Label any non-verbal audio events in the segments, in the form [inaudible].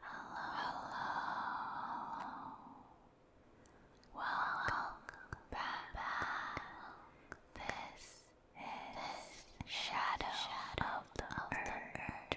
Hello, hello. Welcome, back. This is shadow, of the, earth, the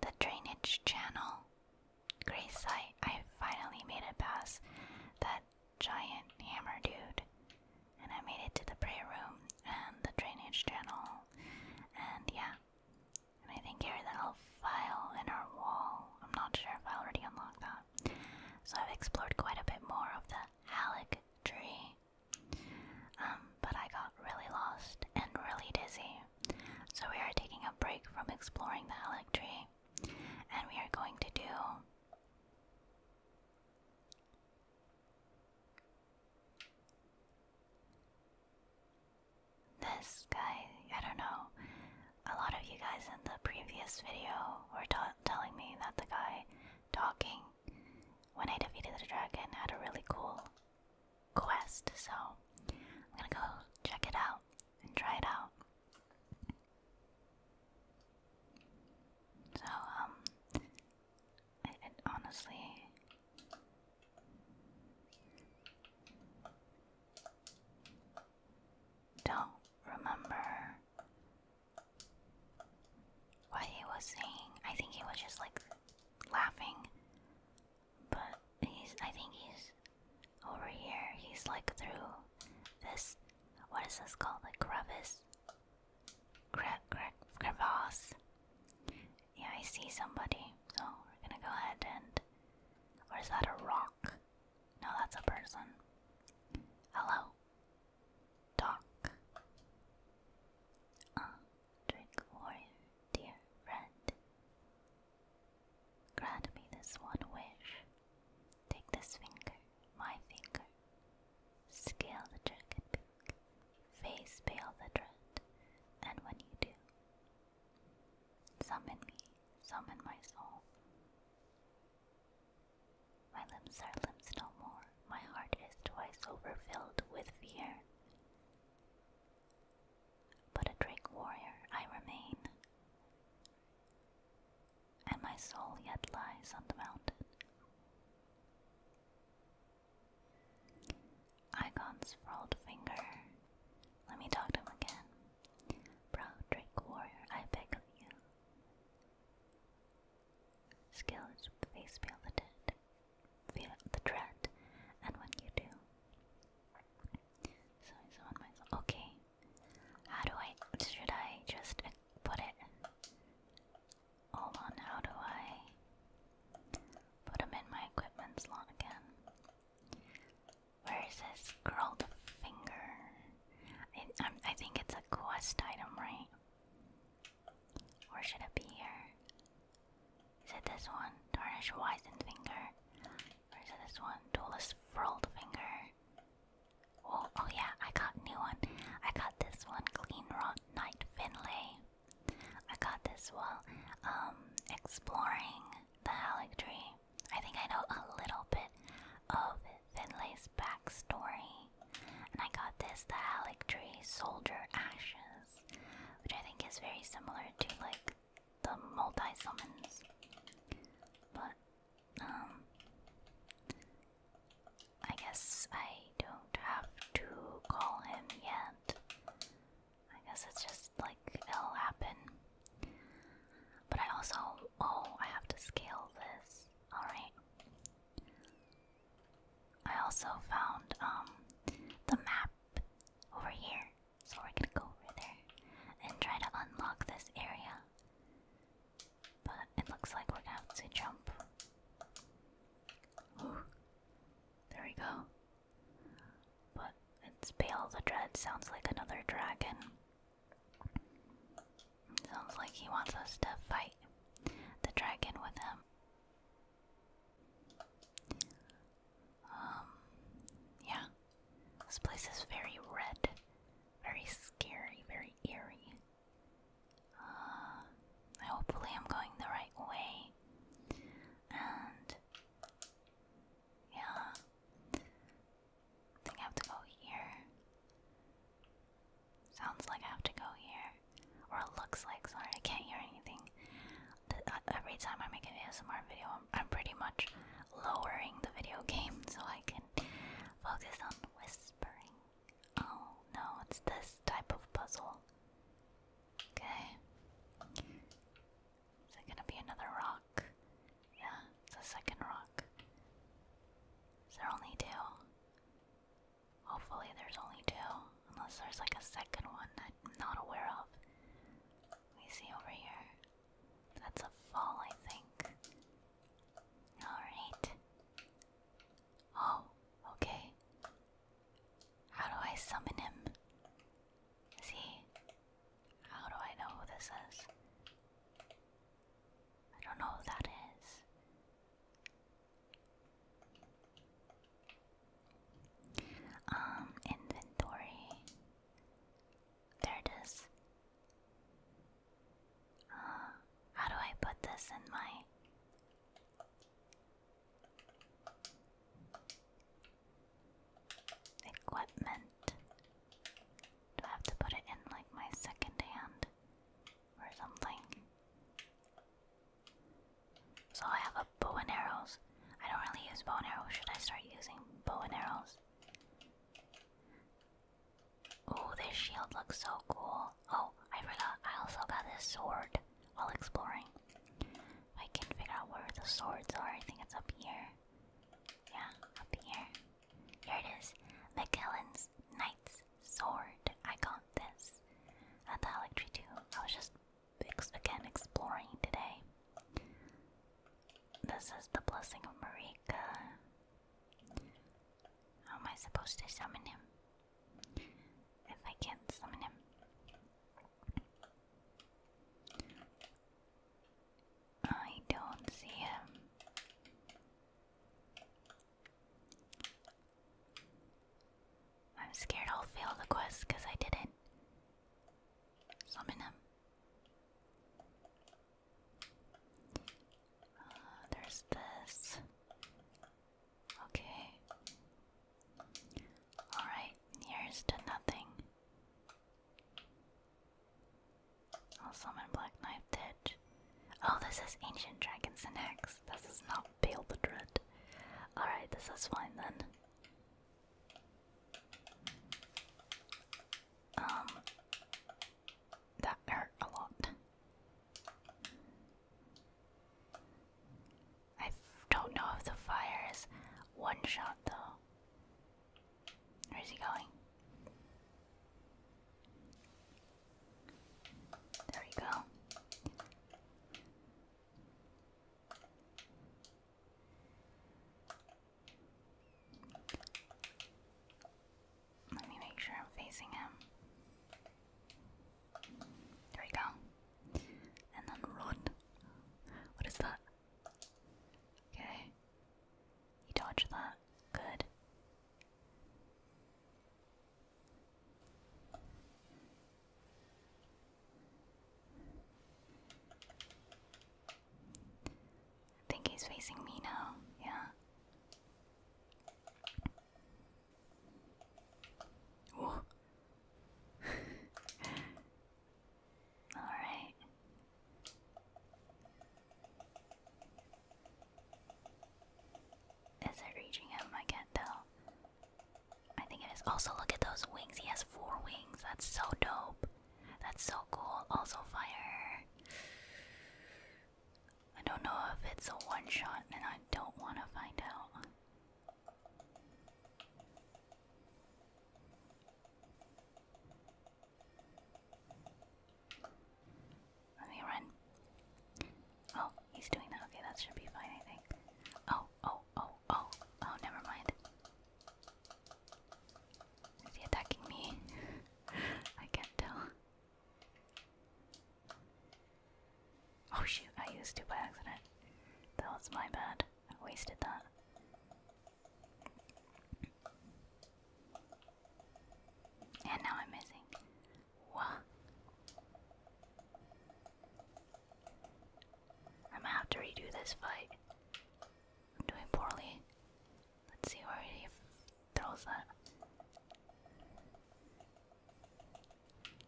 the drainage channel. Great sight, I finally made it past that giant hammer dude. And I made it to the prayer room and the drainage channel. And yeah. And I think here the elf file in our wall. I'm not sure if I already unlocked that. So I've explored quite a bit more of the Alec tree. Um, but I got really lost and really dizzy. So we are taking a break from exploring the Helix tree and we are going to do this guy. I don't know. A lot of you guys in the previous video were telling me that the guy talking when I defeated the dragon had a really cool quest, so I'm gonna go check it out and try it out. So, um, it, honestly. Don't remember what he was saying. I think he was just like laughing but he's I think he's over here. He's like through this what is this called? Like crevice? Cre cre crevasse. Yeah, I see somebody. So we're gonna go ahead and or is that a rock? No, that's a person. Hello. Doc. Uh, Drink water, dear friend. Grant me this one wish. Take this finger, my finger. Scale the dragon peak, face pale the dread, and when you do, summon me, summon my soul. My limbs are limbs no more, my heart is twice overfilled with fear. But a Drake warrior I remain, and my soul yet lies on the mountain. Icon's furled finger. Let me talk to him again. Proud Drake warrior, I beg of you. Skill face pale feel the dread, and when you do, so so on myself. Okay, how do I? Should I just put it? Hold on. How do I put them in my equipment slot again? Where is this scrolled finger? I, I think it's a quest item, right? Or should it be here? Is it this one? Tarnish Wizened Finger. Or this one? Duelist Frilled Finger. Oh, oh yeah, I got new one. I got this one, Clean Rot Knight Finlay. I got this while um, exploring the Halleck Tree. I think I know a little bit of Finlay's backstory. And I got this, the Halleck Tree Soldier Ashes, which I think is very similar to like the multi summons. But um I guess I don't have to call him yet. I guess it's just like it'll happen. But I also oh I have to scale this. Alright. I also found um the map over here so we're gonna go over there and try to unlock this area. But it looks like we're gonna have to jump. Ooh, there we go. But it's Bale the Dread, sounds like another dragon. Sounds like he wants us to fight the dragon with him. Um, yeah. This place is very red, very scary, very eerie. Uh, hopefully, I'm going the right way. And, yeah. think I have to go here. Sounds like I have to go here. Or looks like, sorry, I can't hear anything. Uh, every time I make an ASMR video, um, I'm pretty much lowering the video game so I can focus on whispering. Oh no, it's this type of puzzle. Okay. Is it gonna be another rock? Yeah, it's a second rock. Is there only two? Hopefully, there's only two. Unless there's like a second one I'm not aware of. Let me see over here. That's a fall, I think. Alright. Oh, okay. How do I summon him? See? How do I know who this is? I don't know who that is. Um, inventory. There it is. Uh, how do I put this in my. Equipment. Do I have to put it in like my second hand or something? So I have a bow and arrows. I don't really use bow and arrows. Should I start using bow and arrows? Oh, this shield looks so cool. Oh, I forgot. I also got this sword while exploring. I can not figure out where the swords are, I think it's up here. Yeah, up here. Here it is. McKellen's Knight's Sword. I got this at the Electric 2. I was just ex again exploring today. This is the blessing of Marika. How am I supposed to summon him? If I can't summon him. I don't see him. I'm scared I'll fail the quest because I didn't Summon him. Uh, there's this. Okay. Alright, here's to nothing. I'll summon Black Knife Ditch. Oh, this is Ancient Dragons and This is not Bale the Dread. Alright, this is fine then. Um, that hurt a lot. I don't know if the fire is one shot though. Where is he going? There we go. Let me make sure I'm facing him. There we go. And then run. What is that? Okay. You dodged that. Good. I think he's facing me now, yeah. Whoa. [laughs] Alright. Is it reaching him? I can't tell. I think it is. Also, look at those wings. He has four wings. That's so dope. That's so cool. Also fire. I don't know if it's a one shot and I don't want to find out. Let me run. Oh, he's doing that. Okay, that should be fine, I think. Oh, oh, oh, oh. Oh, never mind. Is he attacking me? [laughs] I can't tell. Oh shoot, I used two by accident. That was my bad. I wasted that. And now I'm missing. What? I'm gonna have to redo this fight doing poorly. Let's see where he throws that.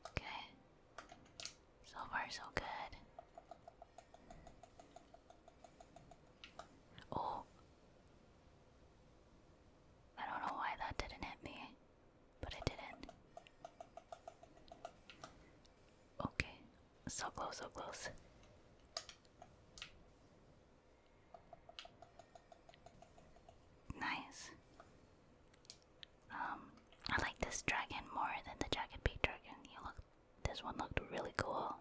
Okay. So far, so good. Oh. I don't know why that didn't hit me, but it didn't. Okay, so close, so close. Nice. Um, I like this dragon more than the jacket peak dragon. You look this one looked really cool.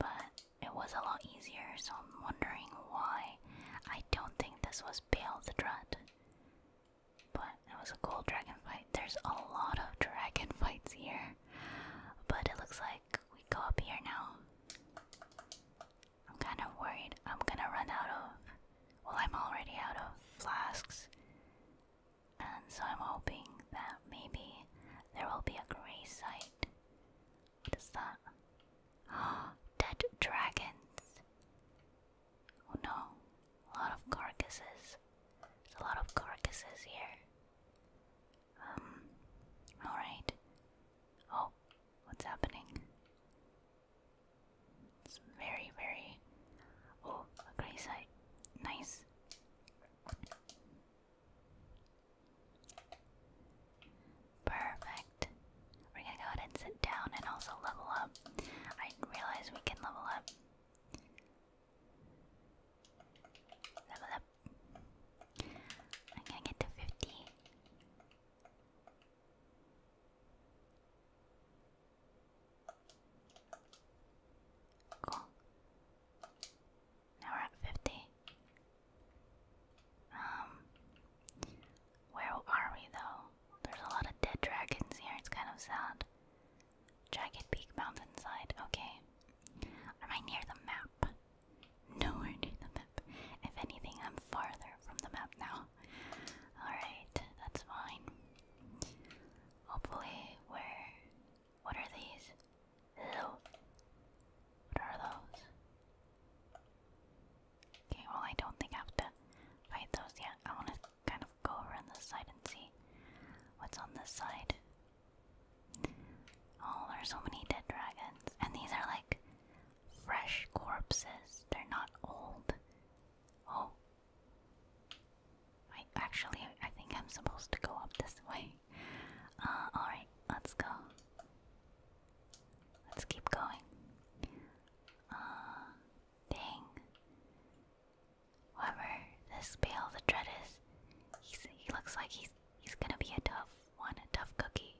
But it was a lot easier, so I'm wondering why. I don't think this was Bale the Dread. But it was a cool dragon fight. There's a lot of dragon [laughs] fights here. But it looks like we go up here now. I'm kind of worried I'm gonna run out of. Well, I'm already out of flasks. And so I'm hoping that maybe there will be a gray site. What is that? Ah, [gasps] dead dragons. Oh no, a lot of carcasses. There's a lot of carcasses here. Um, alright. Oh, what's happening? It's very, very. Oh, a gray Nice. Perfect. We're gonna go ahead and sit down and also level up. I realize we can level up. Level up. I'm get to 50. Cool. Now we're at 50. Um, where are we though? There's a lot of dead dragons here, it's kind of sad. Jagged Peak mountain side. okay. Am I near the map? Nowhere near the map. If anything, I'm farther from the map now. Alright, that's fine. Hopefully, where? What are these? Hello? What are those? Okay, well, I don't think I have to fight those yet. I want to kind of go around this side and see what's on this side. Oh, there's so many dead dragons. And these are like fresh corpses. They're not old. Oh. I actually I think I'm supposed to go up this [laughs] way. Uh, alright, let's go. Let's keep going. Uh dang. However, this Bale the Dread is, he looks like he's, he's gonna be a tough one, a tough cookie.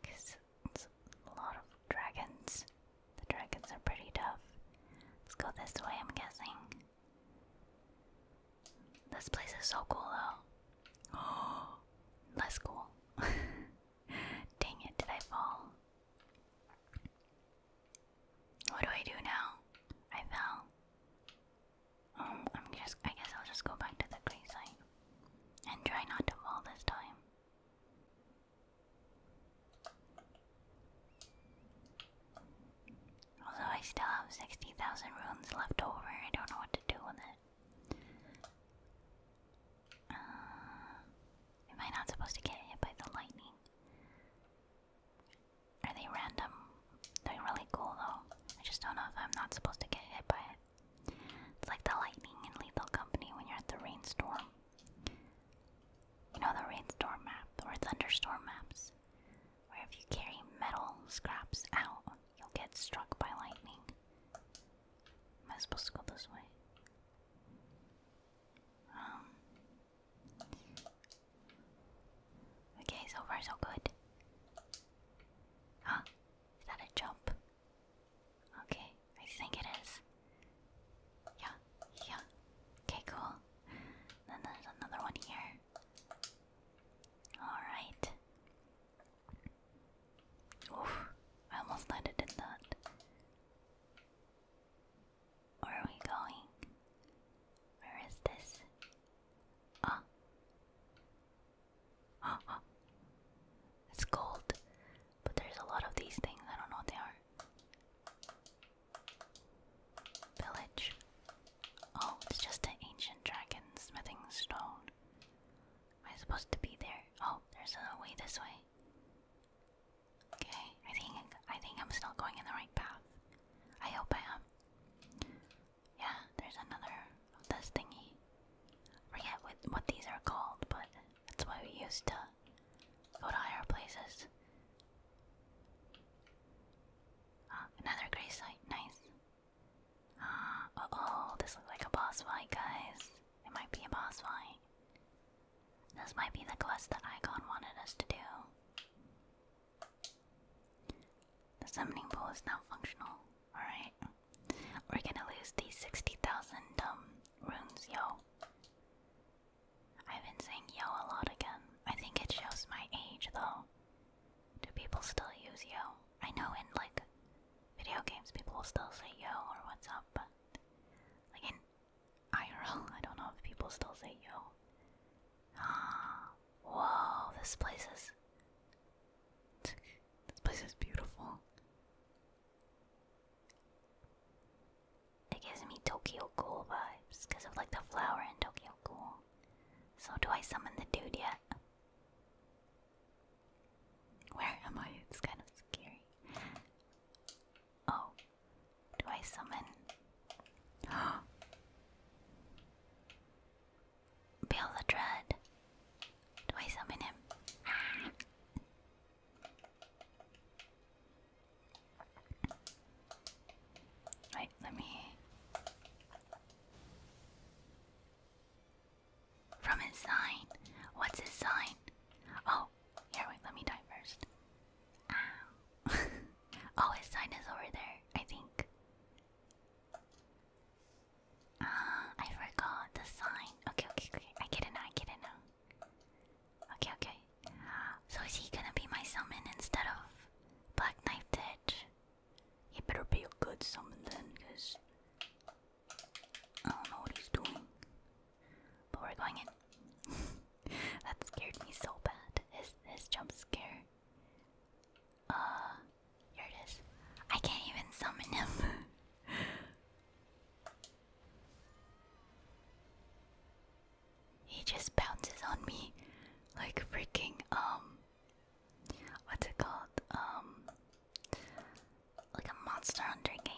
Because it's a lot of dragons. The dragons are pretty tough. Let's go this way, I'm guessing. This place is so cool though. Oh, [gasps] less cool. [laughs] Dang it, did I fall? What do I do now? I fell. Um, I'm I guess I'll just go back to the green site and try not to fall this time. Although I still have sixty thousand runes left over, I don't know what to do with it. Uh, am I not supposed to get hit by the lightning? Are they random? They're really cool though. I just don't know if I'm not supposed to get hit by it. It's like the lightning in Lethal Company when you're at the rainstorm. You know the rainstorm map or thunderstorm maps, where if you carry metal scraps out, you'll get struck by lightning. Am I supposed to go this way? Um, Okay, so far so good. Huh? Is that a jump? Okay, I think it is. Yeah, yeah. Okay, cool. Then there's another one here. Alright. Oof, I almost landed in that. Where are we going? Where is this? Huh? Huh, huh? It's gold, but there's a lot of these things. I don't know what they are. Village. Oh, it's just an ancient dragon smithing stone. Am I supposed to be there? Oh, there's a way this way. Okay, I think I think I'm still going in the right path. I hope I am. Yeah, there's another of this thingy. Forget what, what these are called, but that's why we used to go to higher places. Uh, another gray site, nice. oh, this looks like a boss fight, guys. It might be a boss fight. This might be the quest that Icon wanted us to do. The summoning pool is now functional. Alright. We're gonna lose these 60,000 um, runes, yo. I've been saying yo a lot again. I think it shows my age, though. Do people still use yo? I know in, like, video games people still say yo or what's up, but, like, in IRL, [laughs] I don't know if people still say yo. Ah, Whoa, this place is. This place is beautiful. It gives me Tokyo Cool vibes because of like the flower in Tokyo Cool. So, do I summon the dude yet? Where am I? It's kind of scary. Oh, do I summon Bill [gasps] the Dread. Do I summon him? [sighs] Right, let me. From his sign. What's his sign? Oh, here, wait, let me die first. [laughs] oh, his sign is over there, I think. Ah, I forgot the sign. Okay, okay, okay. I get it now, I get it now. Okay, okay. So is he gonna be my summon instead of Black Knife Ditch? It better be a good summon then, because I don't know what he's doing. But we're going in. [laughs] that scared me so bad. His his jump scare. Uh, here it is. I can't even summon him. [laughs] he just bounces on me like freaking, um, what's it called? Um, like a Monster Hunter game.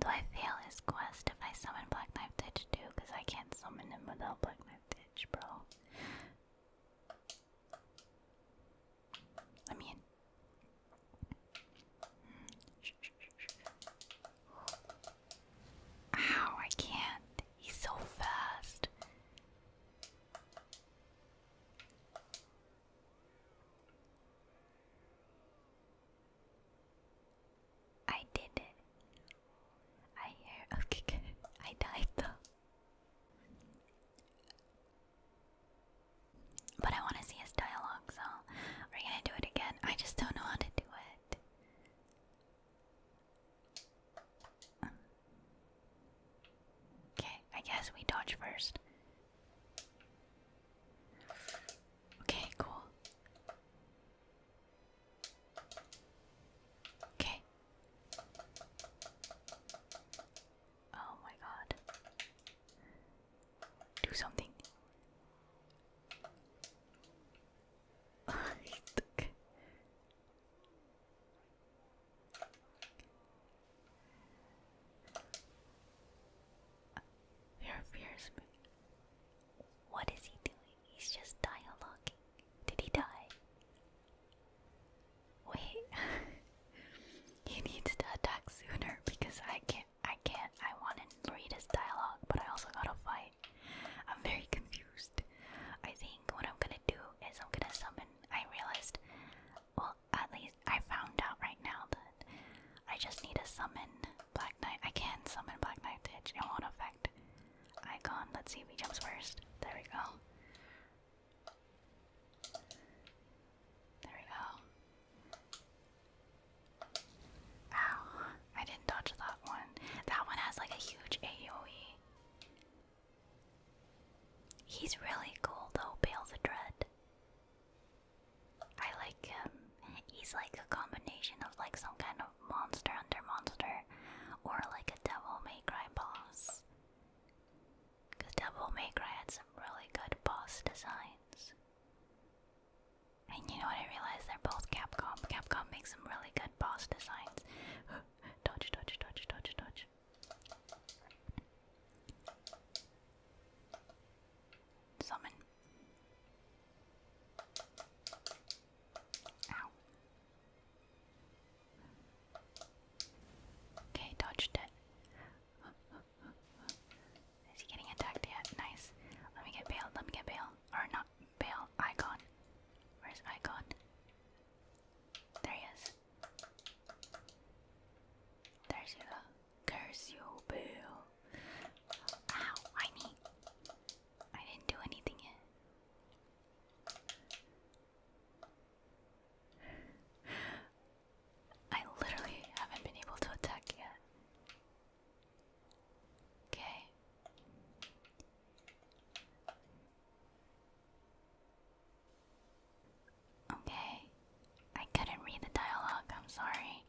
Do I fail his quest if I summon Black Knife Ditch too? Because I can't summon him without Black Knight Ditch, bro. I mean, ow! I can't. He's so fast. I did it. I hear. [laughs] Okay, good. I died though. But I want to see his dialogue, so we're gonna do it again. I just don't know how to do it. Okay, I guess we dodge first. Okay, cool. Okay. Oh my god. Do something. Your [laughs] fears me. What is he doing? He's just dialoguing. Did he die? Wait. [laughs] he needs to attack sooner because I can't. I can't. I want to read his dialogue, but I also gotta fight. I'm very confused. I think what I'm gonna do is I'm gonna summon. I realized. Well, at least I found out right now that I just need a summon Black Knight. I can summon Black Knight It won't affect Icon. Let's see if he jumps first. There we go. There we go. Ow. I didn't dodge that one. That one has like a huge AoE. He's really cool though, Bale the Dread. I like him he's like a combination of like some kind of monster under monster or like a devil may cry boss. Because Devil May Cry had some really good boss designs. And you know what I realized? They're both Capcom. Capcom makes some really good boss designs. [gasps] dodge, dodge, dodge, dodge, dodge. Summon. Okay, dodged it. [laughs] Is he getting attacked yet? Nice. Let me get bailed, let me get bailed. Or not bailed, Icon. Where's Icon? There he is. There's you. Curse you, boo. Ow, why me? I didn't do anything yet. I literally haven't been able to attack yet. Okay. Okay. I couldn't read the dialogue, I'm sorry.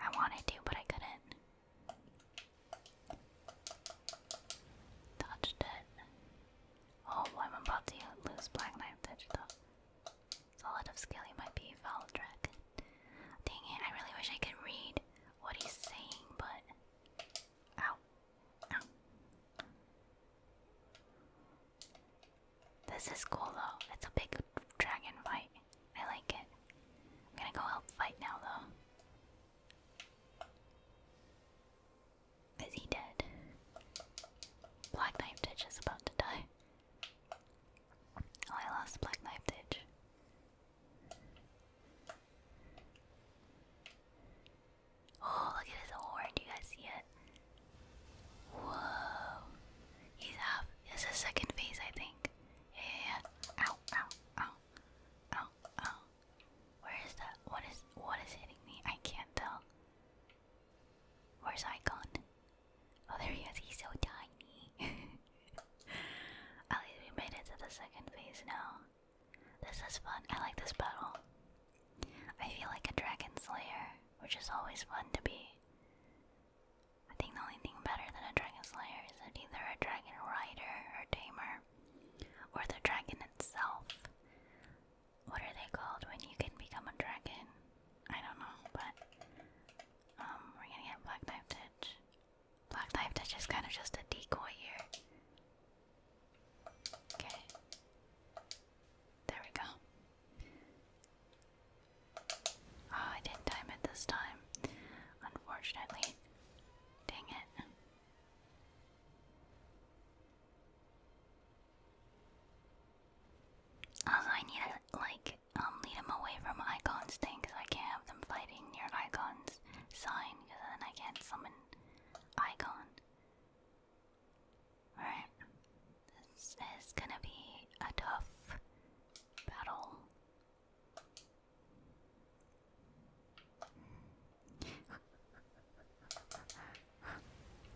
I wanted to, but I couldn't. Touched it. Oh, I'm about to lose Black Knife Digital. It's of skill, might be foul Dang it, I really wish I could read what he's saying, but. Ow. This is cool though, it's a big dragon fight. I like it. I'm gonna go help fight now, though. Is he dead? Black Knife Ditch is about to die. Oh, I lost Black Knife Ditch. Oh, look at his horn. Do you guys see it? Whoa. He's half. This his second phase, I think. Yeah, yeah, yeah ow, oh, ow. Oh. Where is that? What is what is hitting me? I can't tell. Where's I gone? Oh, there he is. He's so tiny. [laughs] At least we made it to the second phase now. This is fun. I like this battle. I feel like a dragon slayer, which is always fun to be. I think the only thing better than a dragon slayer characters and either a dragon rider or tamer, or the dragon itself. What are they called when you can become a dragon? I don't know, but um, we're gonna get Black Knife Ditch. Black Knife Ditch is kind of just a decoy here. Okay. There we go. Oh, I didn't time it this time, unfortunately. Dang it. Also, I need to, like, um, lead them away from Icon's thing, I can't have them fighting near Icon's sign, then I can't summon Icon. Alright. This is gonna be a tough battle.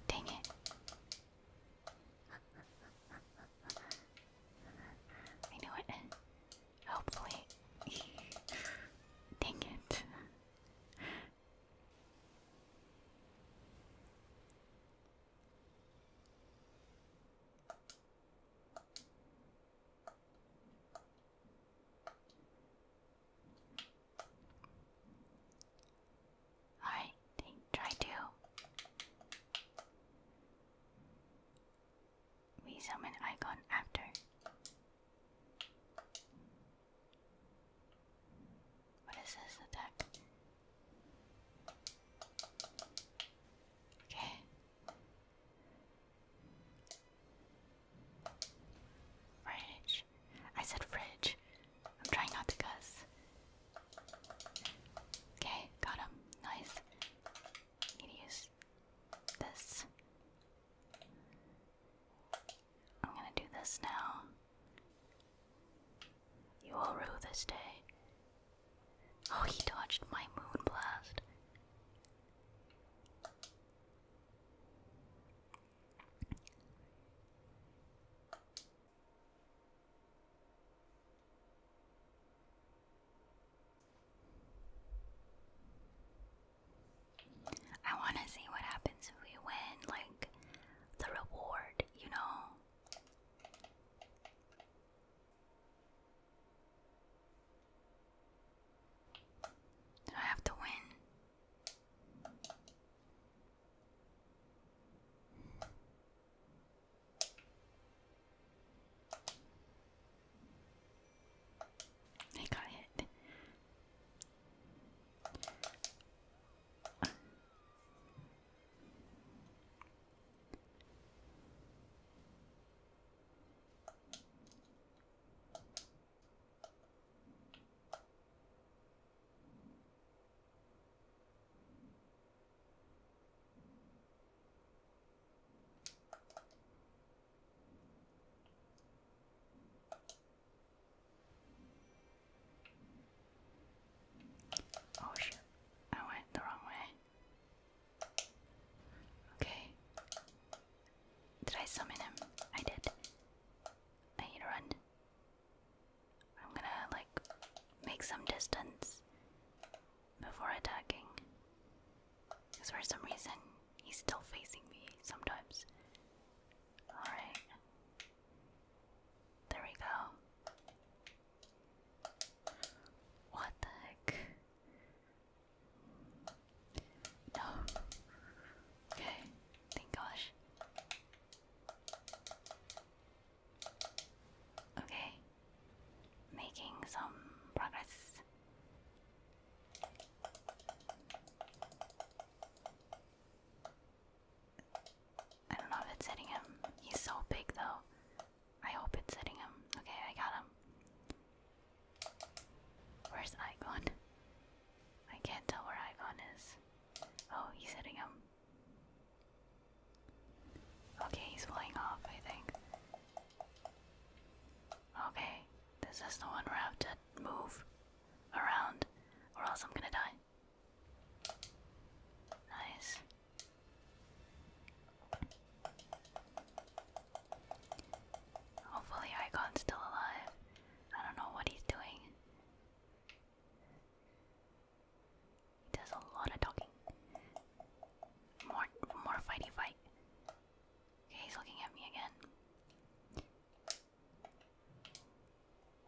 Dang it. I knew it. Hopefully. Dang it. Alright, try to resummon icon after. What is this attack? Okay, Fridge. I said fridge. I'm trying not to cuss. Okay, got him. Nice. Need to use this. I'm gonna do this now. You will rue this day. Oh, he touched my moon blast. I want to see what happens if we win, like the reward, you know. I have to win? I got hit. Oh shit, I went the wrong way. Okay. Did I summon him? I did. I need to run. I'm gonna, like, make some distance before attacking. Because for some reason, he's still facing me sometimes. Alright. There we go. What the heck? No. Okay. Thank gosh. Okay. Making some progress. I don't know if it's hitting him. He's so big though. I hope it's hitting him. Okay, I got him. Where's Icon? I can't tell where Icon is. Oh, he's hitting him. Okay, he's flying off, I think. Okay, this is the one where I have to move around, or else I'm gonna die. Nice. Hopefully Icon's still alive. I don't know what he's doing. He does a lot of talking. More more fighty fight. Okay, he's looking at me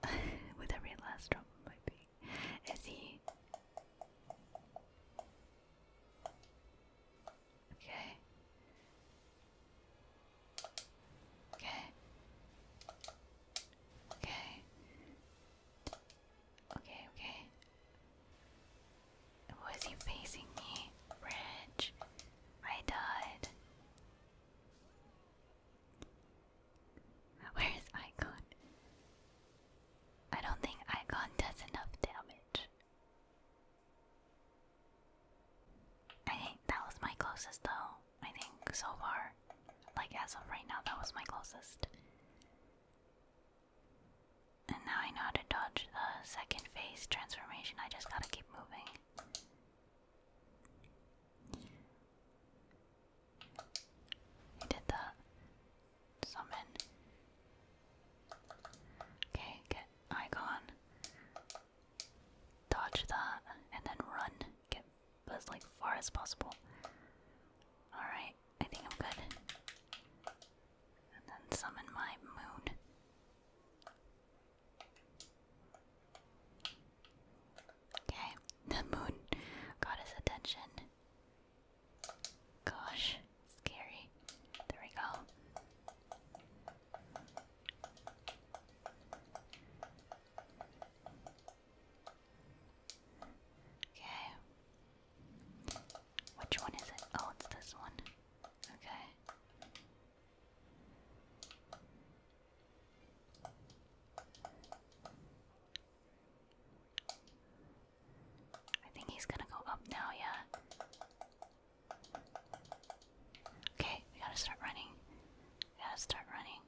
again. [laughs] With every last drop of my pee. Is he Okay. Okay. Okay. Okay, okay. Was he facing me? Bridge. I died. [laughs] Where is Icon? I don't think Icon does enough damage. I think that was my closest though. I think so far. Like as of right now, that was my closest. And now I know how to dodge the second phase transformation. I just gotta keep moving. I did the summon. Okay, get Icon. Dodge that, and then run. Get as like far as possible. Alright, I think I'm good. And then summon my moon. Okay, [laughs] the moon got his attention. Gosh, scary. There we go. Okay. Which one is it? Oh, it's this one. Okay. I think he's gonna go up now, yeah. Okay, we gotta start running. We gotta start running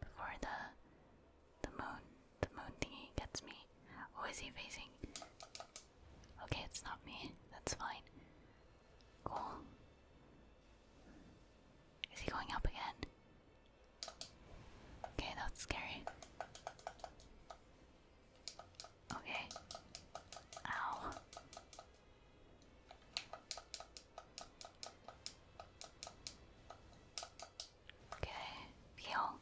before the the moon the moon thingy gets me. Who is he facing? Okay, it's not me. That's fine. Cool. Is he going up again? Okay, that's scary. Okay. Ow. Okay, heal.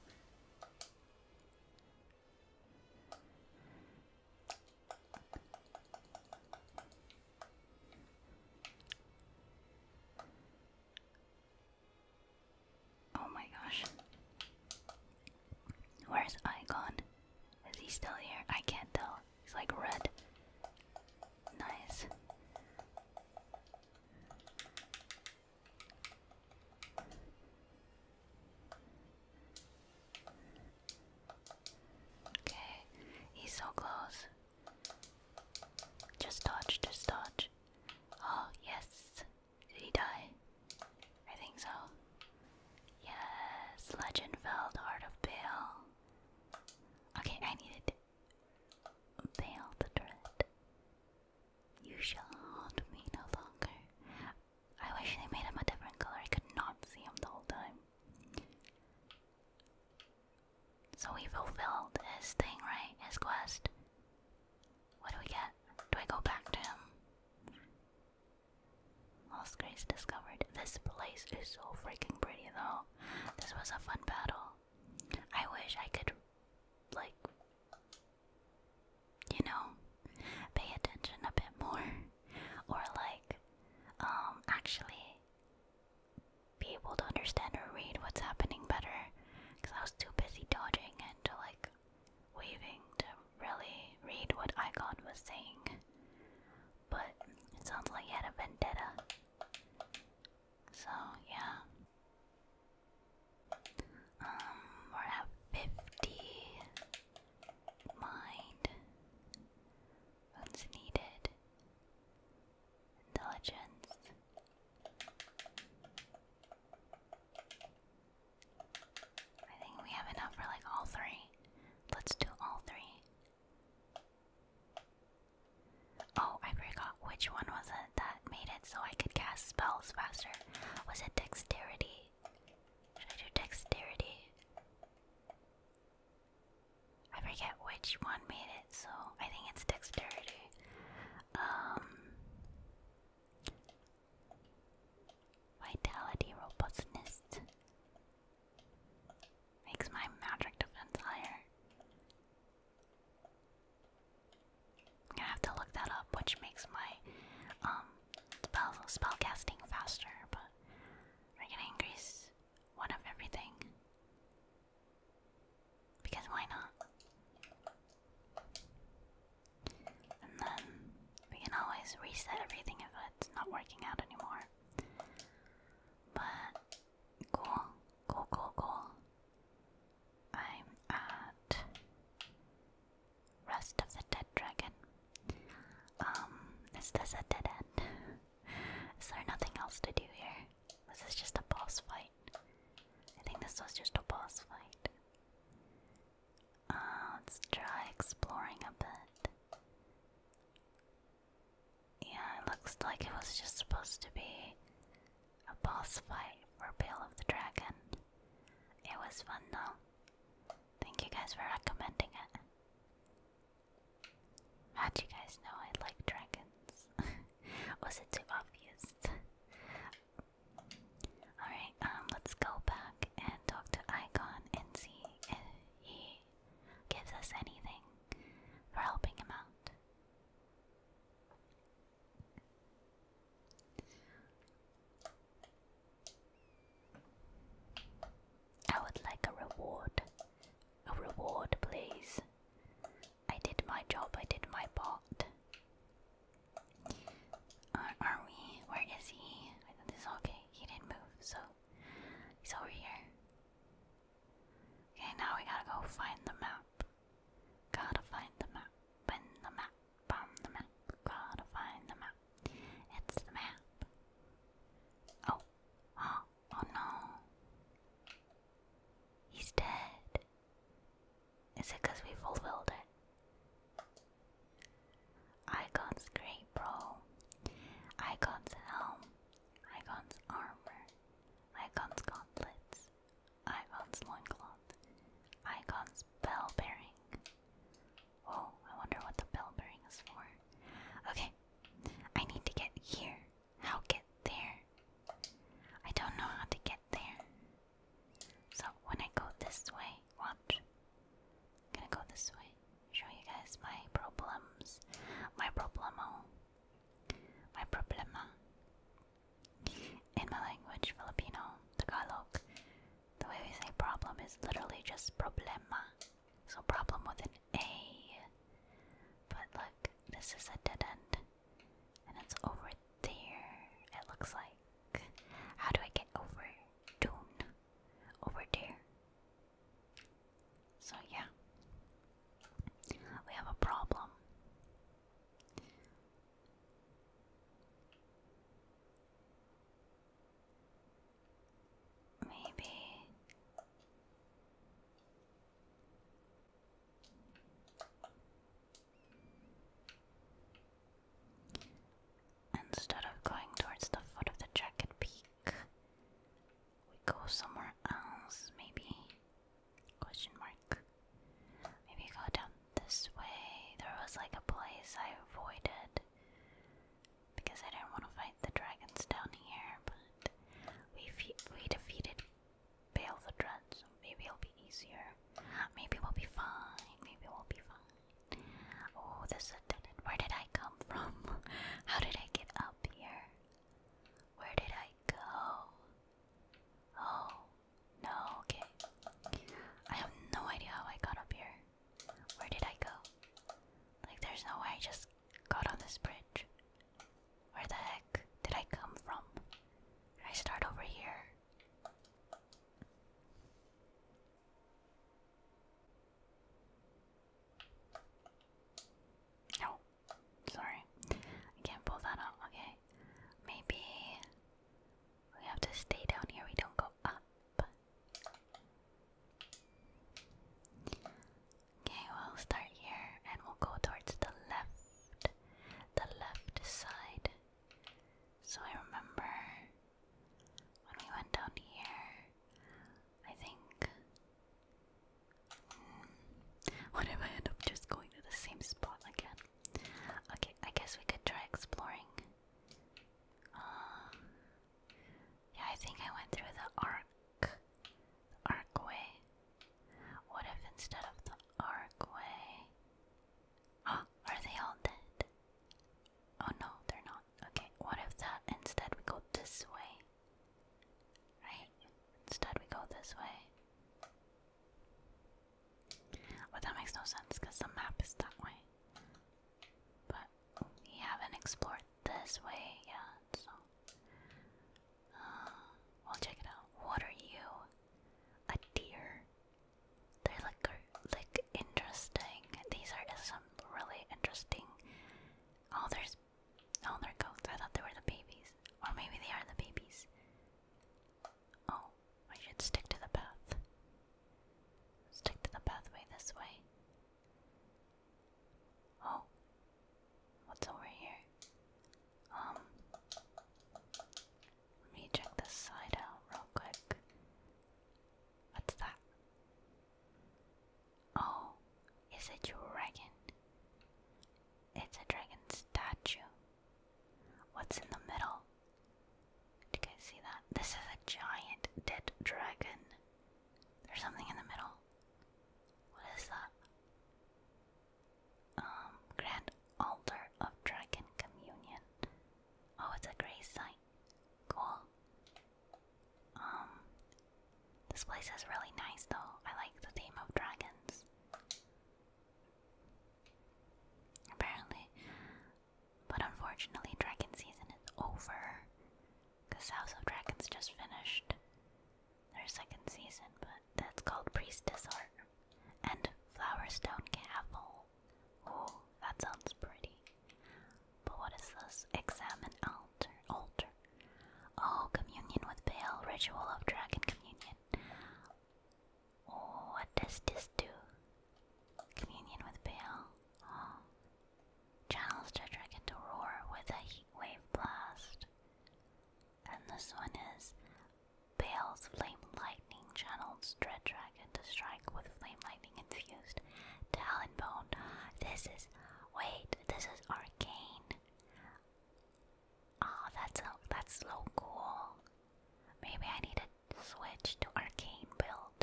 Oh my gosh. Where's Ikon? Is he still here? I can't tell. He's like red. Nice. Okay, he's so close. Just dodge, just dodge. Oh, yes. Did he die? I think so. Yes, Legendfeld, Heart of Bale. Okay, I needed Bale the Dread. You shall haunt me no longer. I wish they made him a different color. I could not see him the whole time. So we fulfilled his thing, right? His quest. What do we get? Do I go back to him? Lost Grace discovered. This place is so freaking pretty though. This was a fun battle. I wish I could, like, you know, pay attention a bit more. Or, like, um, actually be able to understand or read what's happening better. Because I was too busy dodging and, like, waving to really read what Icon was saying, but it sounds like he had a vendetta. So, yeah. Um, we're at 50 mind. What's needed? Intelligence. I think we have enough for like all three. Let's do all three. Oh, I forgot which one was it that made it so I could cast spells faster. Was it dexterity? Should I do dexterity? I forget which one made it, so I think it's dexterity. Um Vitality robustness makes my magic defense higher. I'm gonna have to look that up, which makes my um spell spell casting faster, but we're gonna increase one of everything. Because why not? And then we can always reset everything if it's not working out anymore. But cool, cool, cool, cool. I'm at Rest of the Dead Dragon. Um, is this a dead end? is there nothing else to do here? Was this just a boss fight? I think this was just a boss fight. Uh, let's try exploring a bit. Yeah, it looks like it was just supposed to be a boss fight for Bale of the Dragon. It was fun though. Thank you guys for recommending it. How'd you guys know I like dragons? [laughs] was it too obvious? Alright, um, let's go back and talk to Icon and see he gives us anything for helping him out. I would like a reward. A reward, please. I did my job, I did my part. are we? Where is he? this is okay. He didn't move, so He's over here. Okay, now we gotta go find the map. Gotta find the map. In the map. On the map. Gotta find the map. It's the map. Oh. Oh, oh no. He's dead. Is it we fulfilled it? Icon's great bro. Icon's helm. Icon's armor. Icon's gauntlets. Icon's loincloth. Icon's bell bearing. Oh, I wonder what the bell bearing is for. Okay, I need to get here. How get there? I don't know how to get there. So when I go this way, watch gonna go this way. Show you guys my problems. My problemo. My problema. In my language, Filipino, Tagalog, the way we say problem is literally just problema. So problem with an A. But look, this is a dead end. And it's over there, it looks like. How do I get over? Dune. Over there. So, yeah, we have a problem. Maybe. Instead of going towards the foot of the jacket peak, we go somewhere else, maybe? Question mark. Maybe go down this way. There was like a place I avoided because I didn't want to fight the dragons down here, but we we defeated Bale the dragons. so maybe it'll be easier. Maybe we'll be fine. Maybe we'll be fine. Oh, this a Where did I come from? [laughs] How did I get up here? Where did I go? Oh, no, okay. I have no idea how I got up here. Where did I go? Like, there's no way I just got on this bridge. Where the heck did I come from? Did I start over here? No, oh, sorry, I can't pull that out. Okay, maybe we have to stay down here. We don't go up. Okay, we'll start here and we'll go towards the left, the left side. So I remember when we went down here, I think. Hmm. What if I end up just going to the same spot again? Okay, I guess we could try exploring. Um, yeah, I think I went through the arc. arcway. What if instead of the arcway. Oh, [gasps] are they all dead? Oh no, they're not. Okay, what if that instead we go this way? Right? Instead we go this way. But that makes no sense because the map is that way. But we haven't explored this way yet, so. Uh, check it out. What are you? A deer? They look, like interesting. These are some really interesting Oh, there's. Oh, they're goats. I thought they were the babies. Or maybe they are the babies. Oh, I should stick to the path. Stick to the pathway this way. Oh. What's over here? Um. Let me check this side out real quick. What's that? Oh, is a dragon? It's a dragon statue. What's in the middle? Do you guys see that? This is a giant dead dragon. There's something in the middle. What is that? Um, Grand Altar of Dragon Communion. Oh, it's a gray site. Cool. Um, this place is really nice though. I like the theme of dragons. Apparently, but unfortunately, dragon season is over. Cause House of Dragons just finished their second season, but that's called Priestess Art and Flowerstone Castle. Ooh, that sounds pretty. But what is this? Examine altar. Altar. Oh, communion with Baal. Ritual of Dragon Communion. Oh, what does this do? Communion with Baal. Oh. Channels the dragon to roar with a heat wave blast. And this one is Bale's Flame Lightning channels Dread Dragon to strike with flame lightning infused. Talon Bone. This is Wait, this is arcane. Oh, that's that's so cool. Maybe I need to switch to arcane build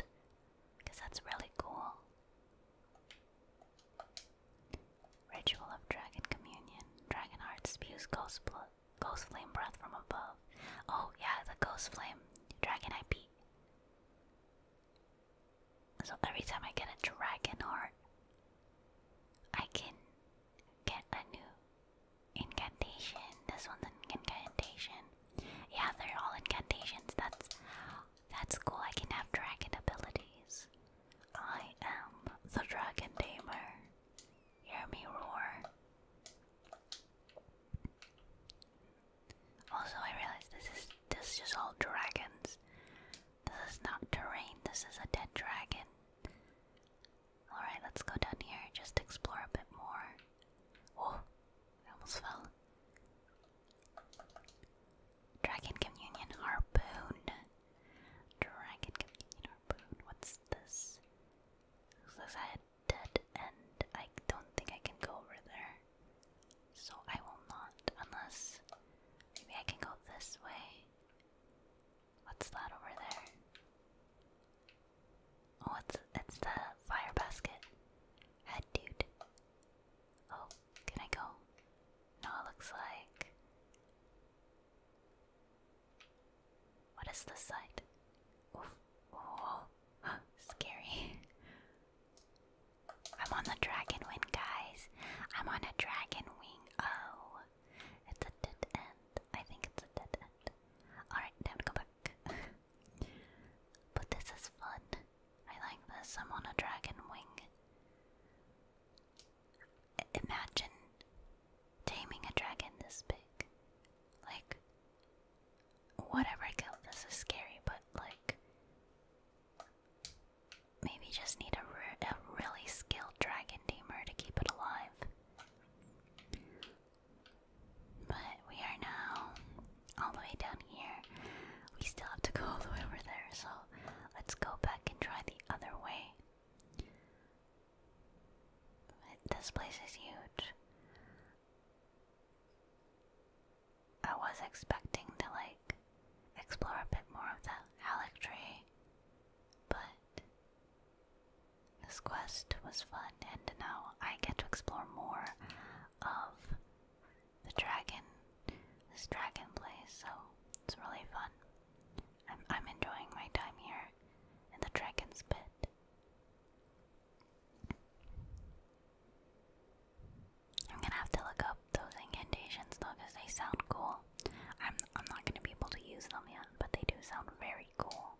because that's really cool. Ritual of Dragon Communion. Dragon spews ghost, ghost flame breath from above. Oh yeah, the ghost flame dragon IP. So every time I get a dragon heart, I can get a new incantation. This one's an incantation. Yeah, they're all incantations. That's that's cool. I can have dragon abilities. I am the dragon tamer. Hear me roar. Also, I realize this is this is just all dragons. This is not terrain, this is a dead dragon. Alright, let's go down here, just explore a bit more. Oh, I almost fell. Dragon Communion Harpoon. Dragon Communion Harpoon. What's this? Looks like I dead end. I don't think I can go over there. So I will not, unless maybe I can go this way. What's that over there? Oh, it's it's the fire basket. Head dude. Oh, can I go? No, it looks like. What is this side? Oof. Oh, [gasps] scary. [laughs] I'm on the dragon wing, guys. I'm on a dragon wing. Oh, it's a dead end. I think it's a dead end. Alright, time to go back. [laughs] but this is fun. I like this. I'm on a dragon wing. Imagine taming a dragon this big. Like, whatever I kill, this is scary, but like, Maybe just need a, a really skilled dragon tamer to keep it alive. But we are now all the way down here. We still have to go all the way over there, so let's go back and try the other way. This place is huge. I was expecting to like explore a bit more of the Halleck tree, but this quest was fun, and now I get to explore more of the dragon, this dragon place, so it's really fun. I'm, I'm enjoying my time here in the dragon's pit. I'm gonna have to look up those incantations though, because they sound cool. I'm I'm not gonna be able to use them yet, but they do sound very cool.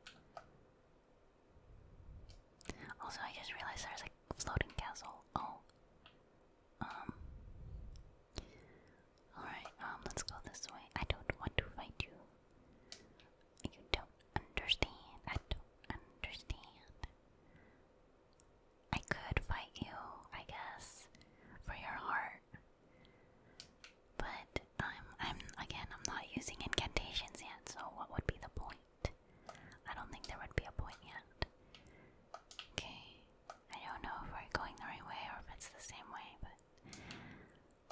Also, I just realized there's a floating castle. Oh. Um. Alright, um, let's go this way. I don't want to fight you. You don't understand. I don't understand. I could fight you, I guess, for your heart. But I'm I'm again I'm not using incantations yet, so what would be the point? I don't think there would be a point yet. Okay. I don't know if we're going the right way or if it's the same way, but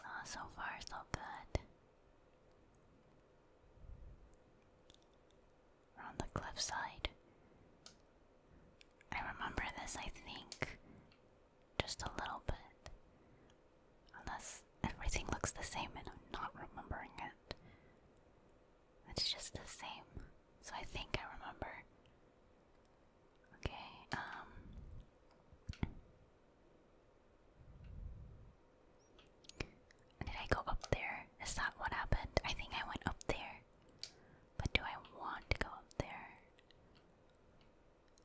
uh, so far so good on the cliffside. I remember this, I think, just a little bit. Unless everything looks the same and I'm not remembering it. It's just the same, so I think I remember. Okay, um. Did I go up there? Is that what happened? I think I went up there. But do I want to go up there?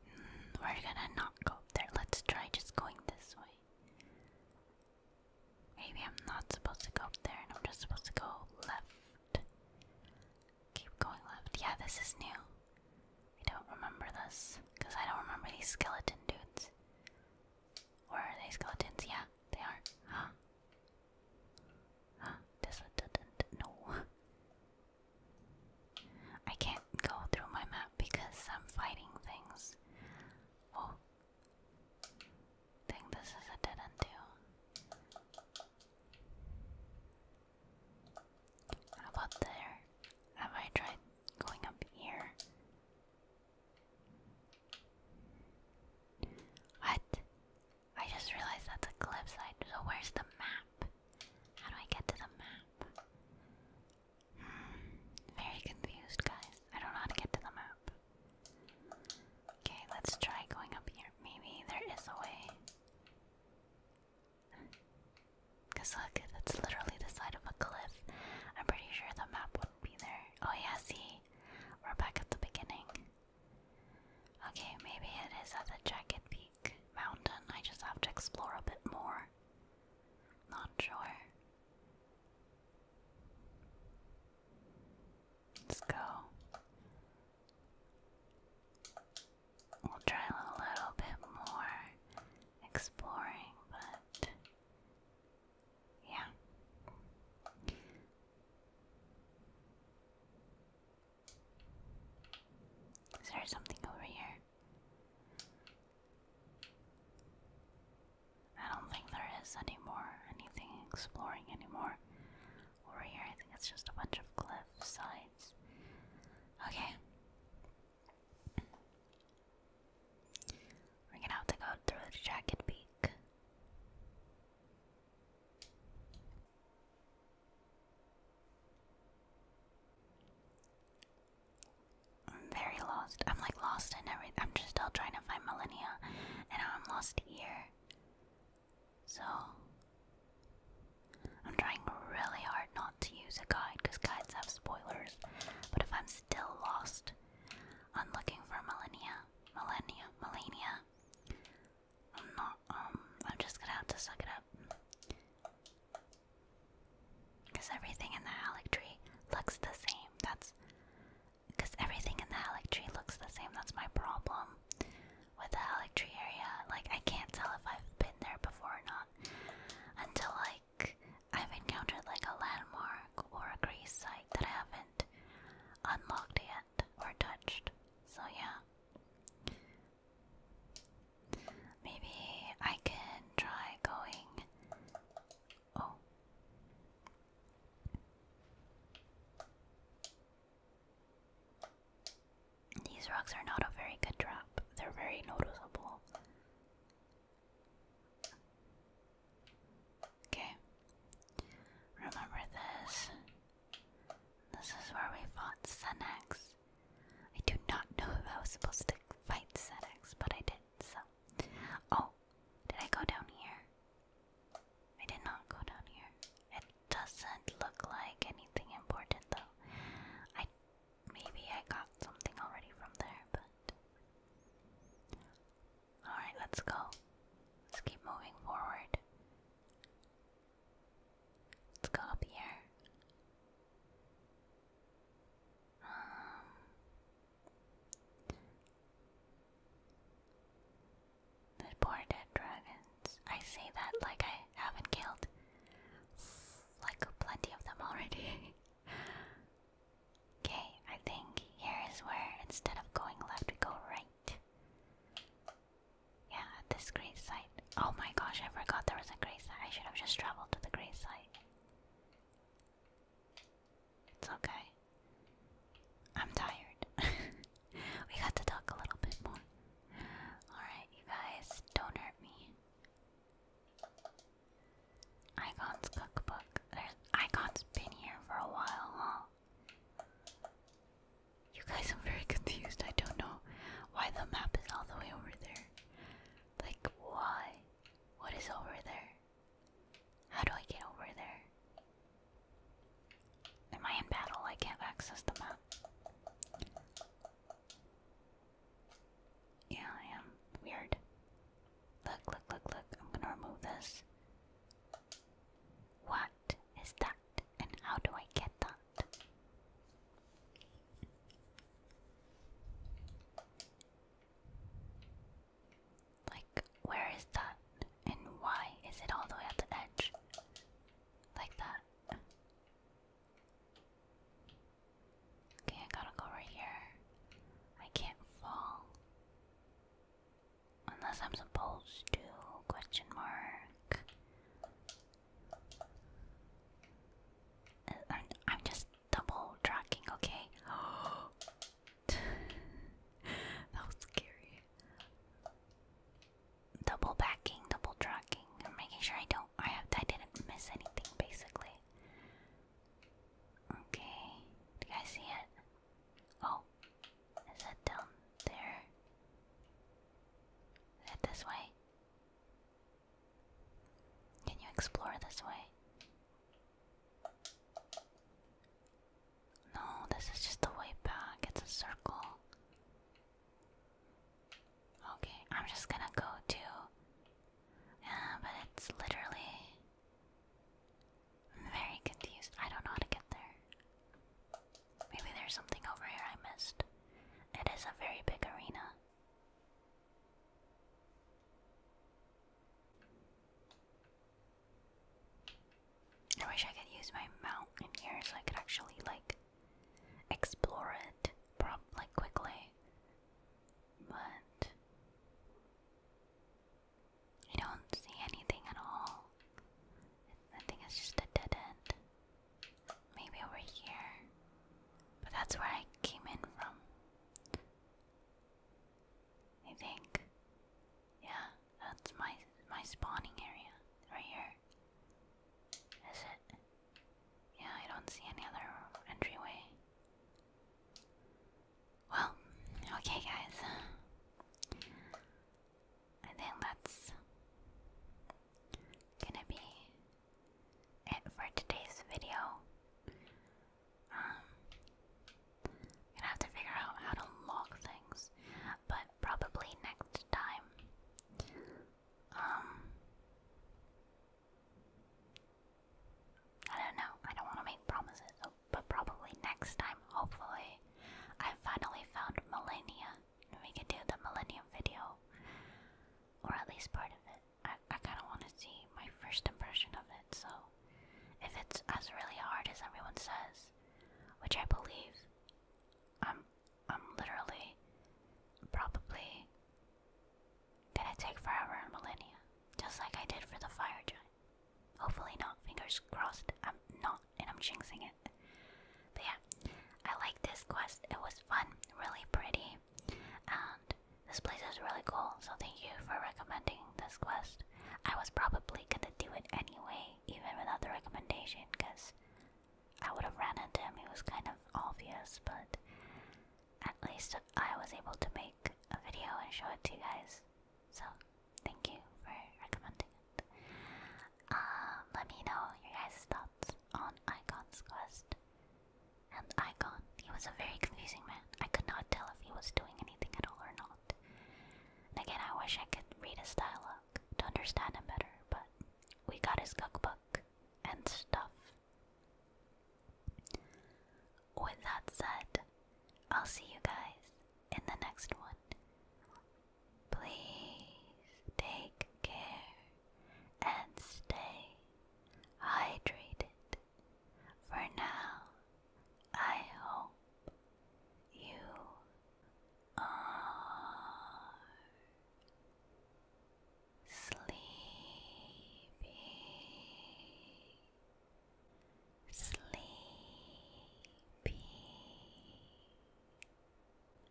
Hmm, we're gonna not go up there. Let's try just going this way. Maybe I'm not supposed to go up there and I'm just supposed to go left. Keep going left. Yeah, this is new. I don't remember this because I don't remember these skeleton dudes. Or they skeletons? Yeah, they are. Tesla didn't know. I can't go through my map because I'm fighting things. Oh, think this is a dead end too. How about there? Have I tried going up here? What? I just realized that's a cliffside. So where's the map? How do I get to the map? Hmm, very confused, guys. I don't know how to get to the map. Okay, let's try going up here. Maybe there is a way. Cause look, that's literally the side of a cliff. I'm pretty sure the map wouldn't be there. Oh yeah, see, we're back at the beginning. Okay, maybe it is at the Jacket Peak mountain. I just have to explore a bit more. Not sure. Let's go. We'll try a little bit more exploring, but yeah. Is there something over here? I don't think there is anymore, anything exploring anymore. Over here, I think it's just a bunch of cliff sides. Okay. We're gonna have to go through jacket peak. I'm very lost. I'm like lost in everything. I'm just still trying to find millennia, and now I'm lost here. So, I'm trying really hard not to use a guide because guides have spoilers. But if I'm still lost, I'm looking for millennia, millennia, millennia. I'm not, um, I'm just gonna have to suck it up. Because everything in the Halleck tree looks the same. That's. Because everything in the Halleck tree looks the same. That's my problem with the Halleck tree area. Like, I can't tell if I've been there before or not until, like, I've encountered, like, a landmark or a grace site that I haven't unlocked yet or touched. So yeah. Maybe I can try going. Oh. These rocks are not a very good trap. They're very noticeable. Okay. Remember this. This is where we fought Senex. I do not know if I was supposed to fight Senex, but I did, so. Oh, did I go down here? I did not go down here. It doesn't look like anything important, though. I maybe I got something already from there, but all right, let's go. Let's keep moving forward. Let's go up here. Um, the poor dead dragons. I say that like I haven't killed like plenty of them already. [laughs] Okay, I think here is where instead of going left, go right. Yeah, at this site. Oh my gosh, I forgot there was a great site. I should have just traveled to the great site. It's okay. I'm tired. [laughs] we got to talk a little bit more. Alright, you guys, don't hurt me. Icon's cookbook. There's, been here for a while, huh? You guys, I'm very confused. I don't know why the map is all the way over there. Like, why? What is over there? How do I get over there? Am I in battle? I can't access the map. Yeah, I am. Weird. Look, look, look, look. I'm gonna remove this. What is that and how do I get that? Like, where is that and why is it all the way at the edge? Like that. Okay, I gotta go right here. I can't fall. Unless I'm supposed to, question mark. Uh, I'm, just double tracking, okay? [gasps] that was scary. Double backing, double tracking, I'm making sure I don't I have I didn't miss anything basically. Okay. Do you guys see it? Oh, is it down there. Is it this way? Can you explore this way? No, this is just the way back. It's a circle. Okay, I'm just gonna go to. Yeah, uh, but it's literally. very confused. I don't know how to get there. Maybe there's something over here I missed. It is a very big arena. I wish I could use my mount in here so I could actually like explore it like quickly. But I don't see anything at all. I think it's just a dead end. Maybe over here. But that's where I came in from. I think. Yeah, that's my my spawning area. Right here. Is it? Yeah, I don't see any other entryway. Well, okay guys. I think that's gonna be it for today's video. Um, gonna have to figure out how to log things, but probably next time. Um, I don't know. I don't want to make promises, but probably next time, hopefully, I finally found Millennia we can do the Millennium video, or at least part of it. I, I kind of want to see my first impression of it, so if it's as really hard as everyone says, which I believe, I'm, I'm literally probably gonna take forever and millennia, just like I did for the fire giant. Hopefully not, fingers crossed, I'm not, and I'm jinxing it. But yeah, I liked this quest. It was fun, really pretty, and this place is really cool. So thank you for recommending this quest. I was probably gonna do it anyway, even without the recommendation, because I would have ran into him. It was kind of obvious, but at least I was able to make a video and show it to you guys. So thank you for recommending. Um, let me know your guys' thoughts on Icon's quest. And Icon, he was a very confusing man. I could not tell if he was doing anything at all or not. again, I wish I could read his dialogue to understand him better, but we got his cookbook and stuff. With that said, I'll see you guys in the next one. Please take care and stay hydrated. For now, I hope you are sleepy, sleepy